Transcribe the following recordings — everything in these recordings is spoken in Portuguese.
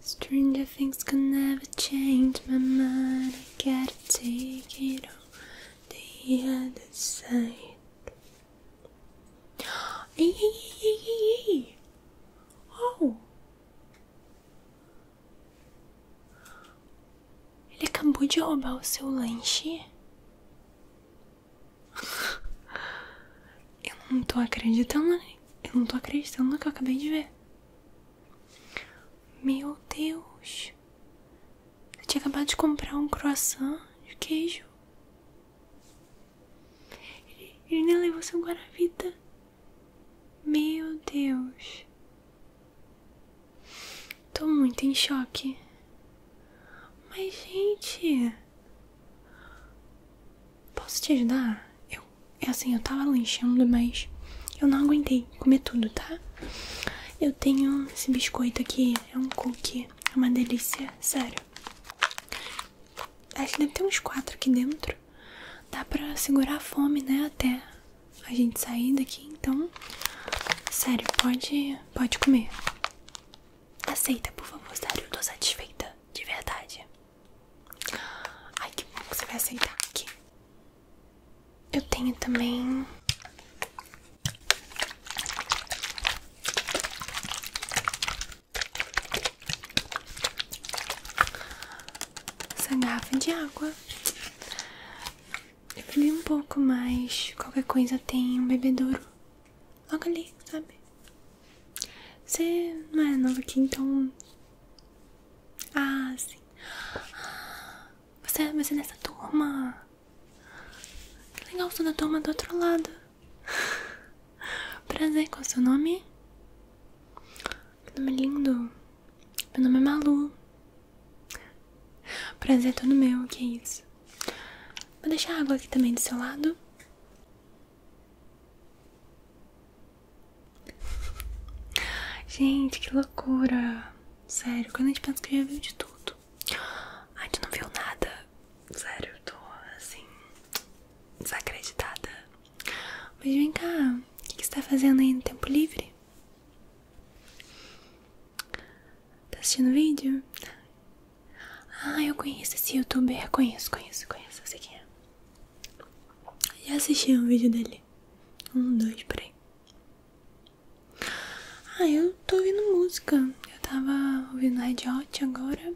Stranger things can never change my mind. I gotta take it on the other side. Hey, Oh! Ele acabou de roubar o seu lanche. Eu não tô acreditando, né? eu não tô acreditando no que eu acabei de ver. Meu Deus! Eu tinha acabado de comprar um croissant de queijo. Ele, ele nem levou seu guaravita. Meu Deus! Tô muito em choque. Mas, gente. Posso te ajudar? Eu é assim, eu tava lanchando, mas eu não aguentei comer tudo, tá? Eu tenho esse biscoito aqui, é um cookie, é uma delícia, sério. Acho que deve ter uns quatro aqui dentro. Dá pra segurar a fome, né? Até a gente sair daqui, então. Sério, pode, pode comer. Aceita, por favor, sério, eu tô satisfeita, de verdade. Ai, que bom que você vai aceitar aqui. Eu tenho também. Essa garrafa de água. Eu bebi um pouco, mais. qualquer coisa tem um bebedouro. Logo ali, sabe? Você não é novo aqui, então. Ah, sim. Você, você é nessa turma. Que legal, sou da turma do outro lado. Prazer, qual é o seu nome? Meu nome é lindo. Meu nome é Malu. Prazer é todo meu, que é isso. Vou deixar a água aqui também do seu lado. Gente, que loucura! Sério, quando a gente pensa que já viu de tudo, a gente não viu nada. Sério, eu tô assim, desacreditada. Mas vem cá, o que, que você tá fazendo aí no tempo livre? Tá assistindo vídeo? Ah, eu conheço esse youtuber. Conheço, conheço, conheço. Eu sei quem é. Já assisti um vídeo dele. Um, dois, peraí. Ah, eu tô ouvindo música. Eu tava ouvindo a Hot agora.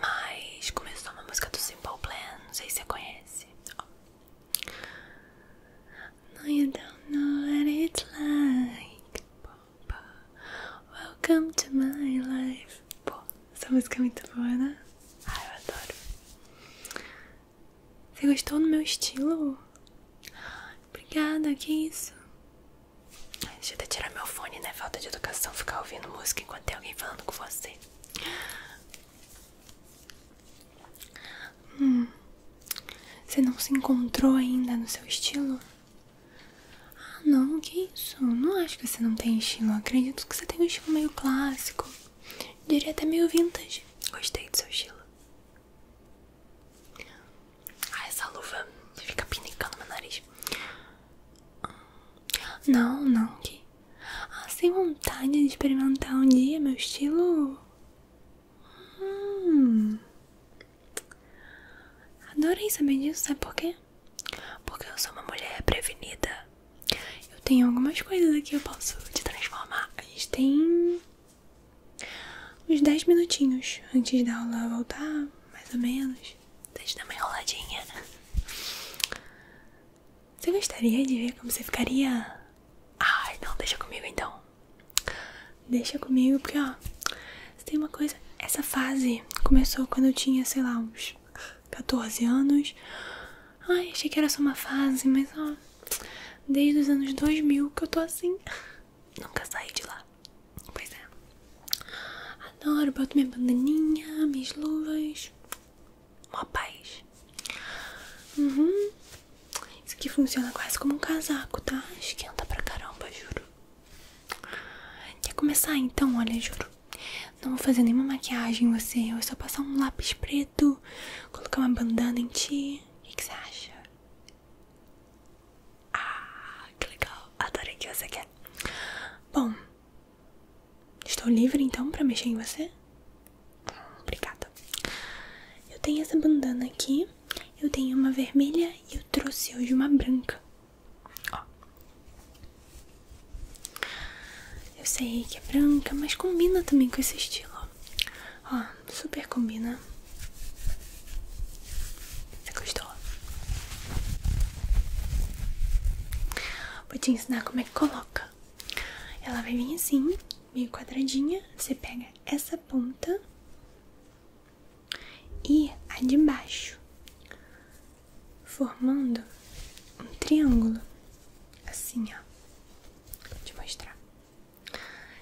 Mas começou uma música do Simple Plan. Não sei se você conhece. Oh. No, don't know what it's like. Welcome to my life. Pô, essa música é muito boa, né? Ah, eu adoro. Você gostou do meu estilo? Obrigada, que isso? Deixa eu até tirar meu fone, né? Falta de educação ficar ouvindo música enquanto tem alguém falando com você. Hum, você não se encontrou ainda no seu estilo? Ah, não, que isso? Não acho que você não tem estilo. acredito que você tem um estilo meio clássico. Diria até mil vintage. Gostei do seu estilo. Ah, essa luva fica pinicando meu nariz. Não, não. Que... Ah, sem vontade de experimentar um dia meu estilo. Hum. Adorei saber disso, sabe por quê? Porque eu sou uma mulher prevenida eu tenho algumas coisas aqui que eu posso te transformar. A gente tem uns 10 minutinhos antes da aula voltar, mais ou menos. Deixa dar uma enroladinha. Você gostaria de ver como você ficaria? Ai, não, deixa comigo então. Deixa comigo, porque ó, tem uma coisa. Essa fase começou quando eu tinha, sei lá, uns 14 anos. Ai, achei que era só uma fase, mas ó, desde os anos 2000 que eu tô assim. Nunca saí de lá. Pois é. Adoro, boto minha bandaninha, minhas luvas. uma paz. Uhum. Isso aqui funciona quase como um casaco, tá? Esquenta pra caramba, juro. Quer começar então? Olha, juro. Não vou fazer nenhuma maquiagem em você, eu vou só passar um lápis preto, colocar uma bandana em ti. O que, você acha? Ah, que legal! Adorei que você quer. Bom, estou livre então para mexer em você? Obrigada. Eu tenho essa bandana aqui, eu tenho uma vermelha e eu trouxe hoje uma branca. Ó, eu sei que é branca, mas combina também com esse estilo. Ó, super combina. Você gostou? Vou te ensinar como é que coloca. Ela vai vir assim, meio quadradinha. Você pega essa ponta e a de baixo formando um triângulo assim, ó. Vou te mostrar.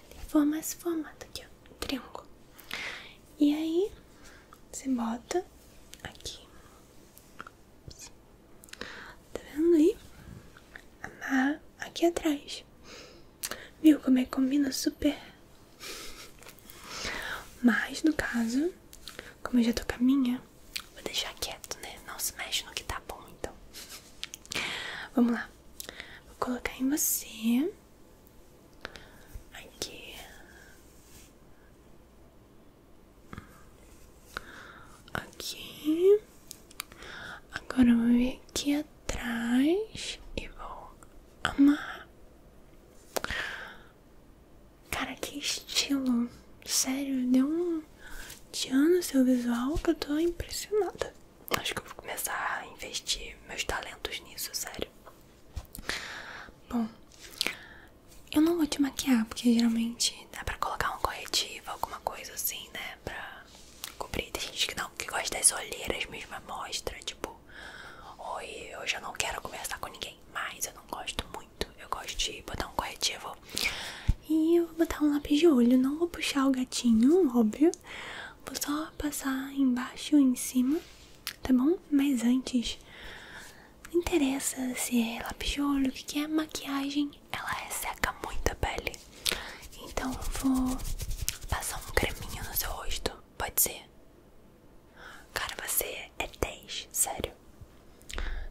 Tem forma esse formato aqui, ó. Um triângulo. E aí, você bota aqui. Tá vendo ali Amarra aqui atrás. Viu como é que combina super? Mas no caso, como eu já tô com a minha, Vou deixar quieto, né? Não se mexe no que tá bom, então. Vamos lá. Vou colocar em você. Aqui. Aqui. Agora eu vou vir aqui atrás e vou amarrar. Cara, que estilo! Sério, deu um dia no seu visual que eu tô impressionada. Acho que eu vou começar a investir meus talentos nisso, sério. Bom, eu não vou te maquiar, porque geralmente dá pra colocar um corretivo, alguma coisa assim, né? Pra cobrir. Tem gente que não que gosta das olheiras mesmo, mostra, tipo, oi, eu já não quero conversar com ninguém, mas eu não gosto eu gosto de botar um corretivo. E eu vou botar um lápis de olho. Não vou puxar o gatinho, óbvio. Vou só passar embaixo e em cima, tá bom? Mas antes, não interessa se é lápis de olho, o que, que é maquiagem, ela resseca muito a pele. Então eu vou passar um creminho no seu rosto, pode ser? Cara, você é 10, sério.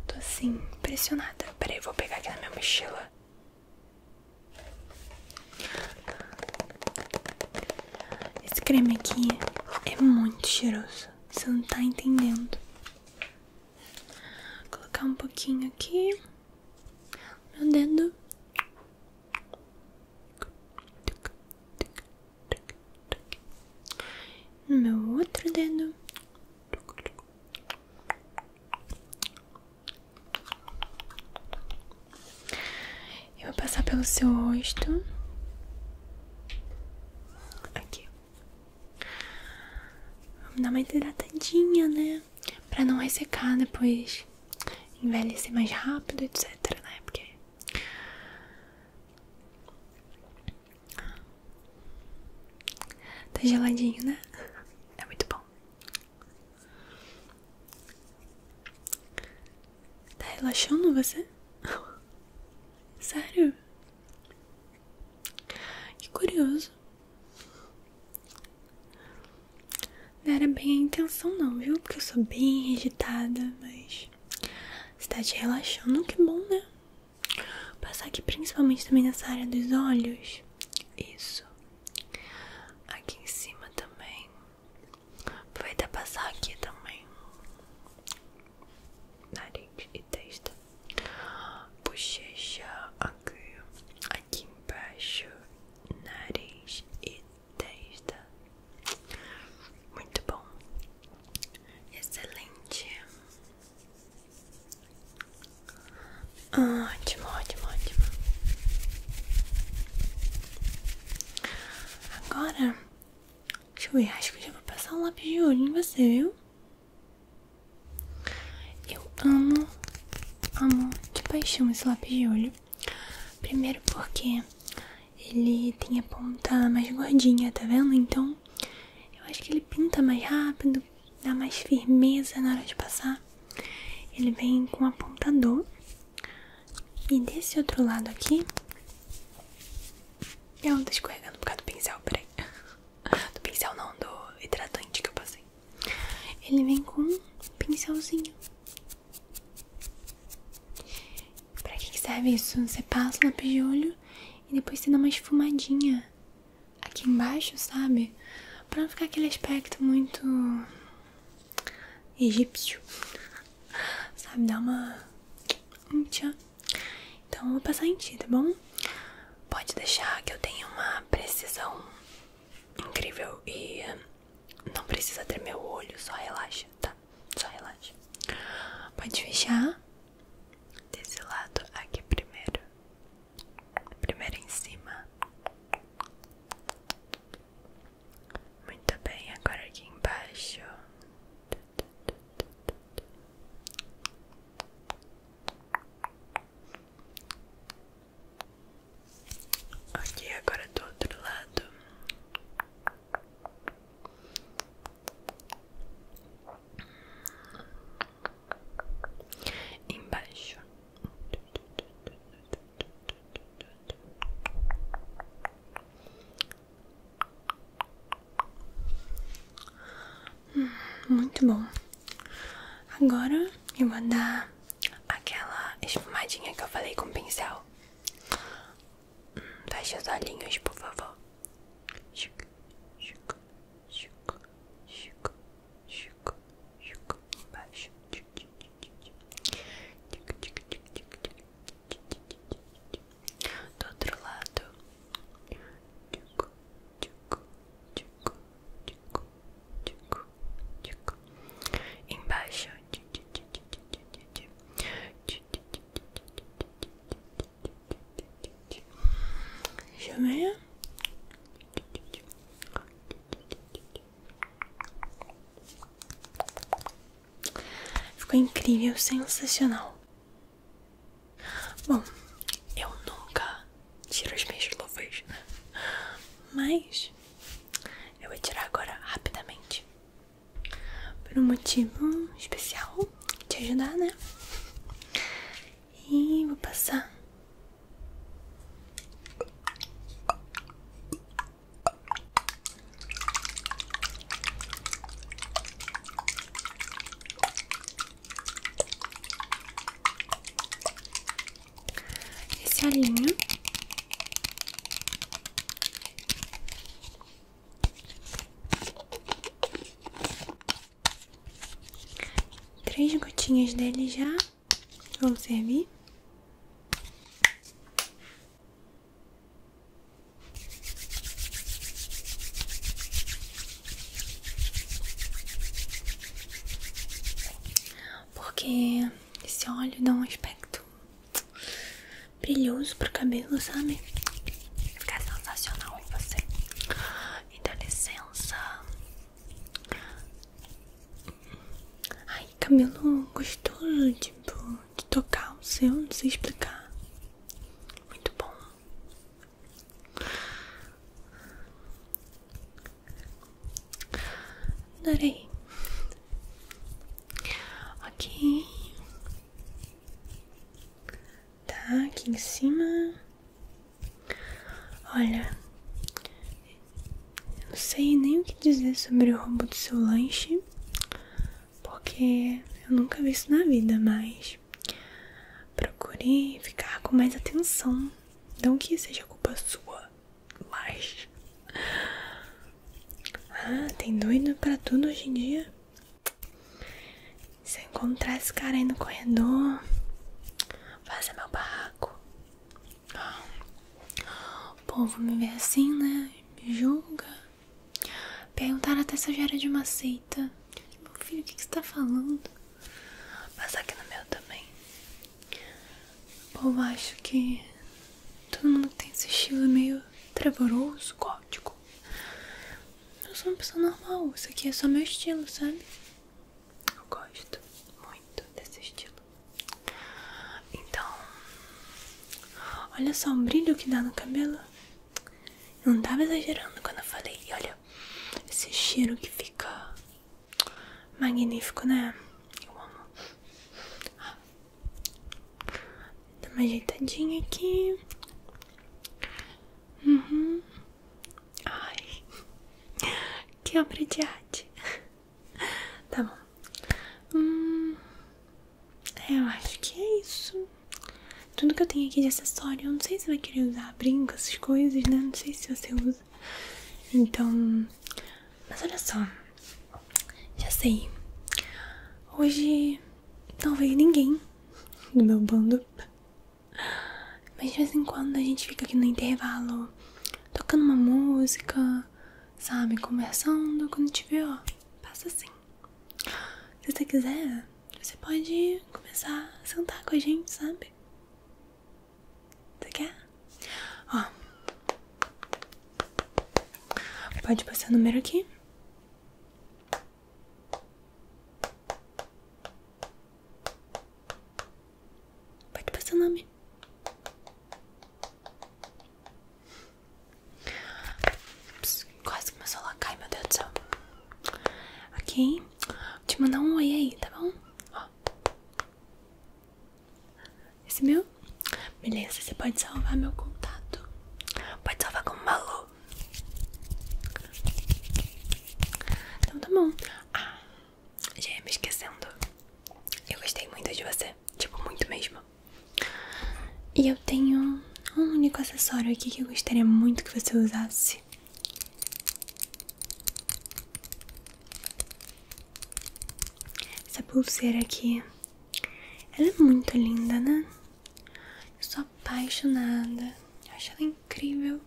Tô assim, impressionada. Peraí, eu vou pegar aqui na minha mochila. Esse creme aqui é muito cheiroso. Você não tá entendendo. Vou colocar um pouquinho aqui. Meu dedo. No meu outro dedo. Eu vou passar pelo seu rosto. Aqui. Vamos dar uma hidratadinha, né? Pra não ressecar depois. Envelhecer mais rápido, etc, né? Porque Tá geladinho, né? É muito bom. Tá relaxando você? Sério? Que curioso. Não era bem a intenção não, viu? Porque eu sou bem agitada, mas... Você tá te relaxando, que bom, né? Passar aqui principalmente também nessa área dos olhos. Isso. Aqui em cima também. vai Aproveita passar aqui também. Nariz e testa. Bochecha aqui. Aqui embaixo. Nariz e testa. Muito bom. Excelente. Ah, ótimo, ótimo, ótimo. Agora, deixa eu ver, acho que eu já vou passar um lápis de olho em você, viu? Eu amo, amo de paixão esse lápis de olho. Primeiro porque ele tem a ponta mais gordinha, tá vendo? Então eu acho que ele pinta mais rápido, dá mais firmeza na hora de passar. Ele vem com um apontador. E desse outro lado aqui. Eu tô escorregando por causa do pincel, peraí. Do pincel não, do hidratante que eu passei. Ele vem com um pincelzinho. Pra que serve isso? Você passa o lápis de olho e depois você dá uma esfumadinha aqui embaixo, sabe? Pra não ficar aquele aspecto muito egípcio, sabe? Dá uma. Um tchan. Então eu vou passar em ti, tá bom? Pode deixar que eu tenha uma precisão incrível e não precisa tremer o olho, só relaxa, tá? Só relaxa. Pode fechar desse lado aqui primeiro. Primeiro em cima. Muito bem, agora aqui embaixo. Ok, agora do outro lado embaixo. Hum, muito bom. Agora eu vou dar aquela esfumadinha que eu falei com o pincel. Hum, os olhinhos, por favor. Chico, chico, chico, chico, do outro lado embaixo deixa eu ver Ficou incrível, sensacional. Bom, eu nunca tiro as minhas luvas, né? mas eu vou tirar agora rapidamente por um motivo especial te ajudar, né? E vou passar. Esse olhinho. Três gotinhas dele já vão servir. Porque esse óleo dá um aspecto brilhoso pro cabelo, sabe? Vai ficar sensacional em você. então licença Ai, cabelo gostoso, tipo, de tocar o seu, não sei explicar. Muito bom. Adorei. Ok. Tá, aqui em cima. Olha, eu não sei nem o que dizer sobre o roubo do seu lanche, porque eu nunca vi isso na vida, mas procurei ficar com mais atenção. Não que seja culpa sua, mas. Ah, tem doido pra tudo hoje em dia? Se eu encontrar esse cara aí no corredor, fazer meu barraco. O povo me vê assim, né? Me julga. Perguntaram até se eu já era de uma seita. Meu filho, o que, que você tá falando? passar aqui no meu também. O povo acha que todo mundo tem esse estilo meio trevoroso, gótico. Eu sou uma pessoa normal, isso aqui é só meu estilo, sabe? Eu gosto muito desse estilo. Então, olha só o brilho que dá no cabelo. Eu não estava exagerando quando eu falei. E olha, esse cheiro que fica magnífico, né? Eu amo. Ah. Dá uma ajeitadinha aqui. Uhum. Ai, que obra de arte. tá bom. Hum, é, eu acho que é isso. Tudo que eu tenho aqui de acessório, eu não sei se você vai querer usar brinco, essas coisas, né? Não sei se você usa. Então, mas olha só. Já sei. Hoje não veio ninguém do meu bando. Mas de vez em quando a gente fica aqui no intervalo tocando uma música, sabe? Conversando. Quando tiver, ó, passa assim. Se você quiser, você pode começar a sentar com a gente, sabe? Você quer? Ó. Pode passar o número aqui. Pode passar o nome. quase que meu celular cai, meu Deus do céu. Ok. te mandar um oi aí, tá bom? Ó. Esse meu? Beleza, você pode salvar meu contato. Pode salvar como Malu. Então tá bom. Ah, já ia me esquecendo. Eu gostei muito de você. Tipo, muito mesmo. E eu tenho um único acessório aqui que eu gostaria muito que você usasse. Essa pulseira aqui. Ela é muito linda, né? Eu sou apaixonada. Eu acho ela incrível.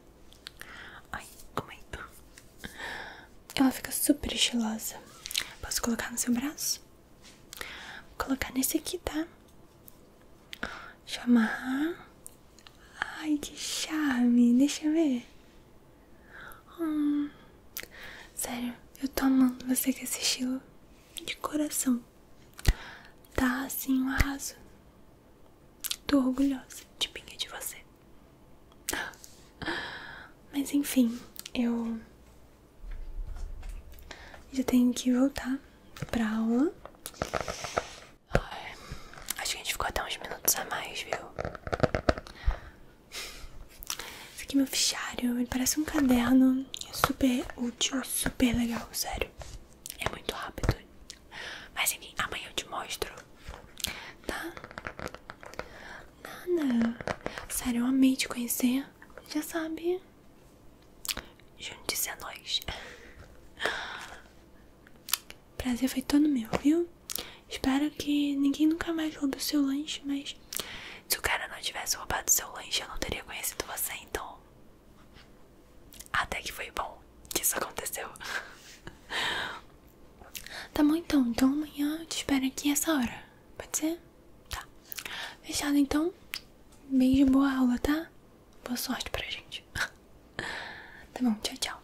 Ai, como é? isso? Ela fica super estilosa. Posso colocar no seu braço? Vou colocar nesse aqui, tá? Deixa Ai, que charme. Deixa eu ver. Hum. Sério, eu tô amando você com esse estilo de coração. Tá assim, um arraso. Tô orgulhosa de de você. Mas enfim, eu já tenho que voltar pra aula. acho que a gente ficou até uns minutos a mais, viu? Esse aqui é meu fichário, ele parece um caderno. É super útil, super legal, sério. É muito rápido. Mas enfim, amanhã eu te mostro. Tá? Nada. Sério, eu amei te conhecer. Já sabe. Junte-se a é nós. Prazer foi todo meu, viu? Espero que ninguém nunca mais roube o seu lanche, mas se o cara não tivesse roubado o seu lanche, eu não teria conhecido você, então. Até que foi bom que isso aconteceu. Tá bom então, então amanhã eu te espero aqui essa hora, pode ser? Tá. Fechado então. Beijo, boa aula, tá? Boa sorte pra gente. tá bom, tchau, tchau.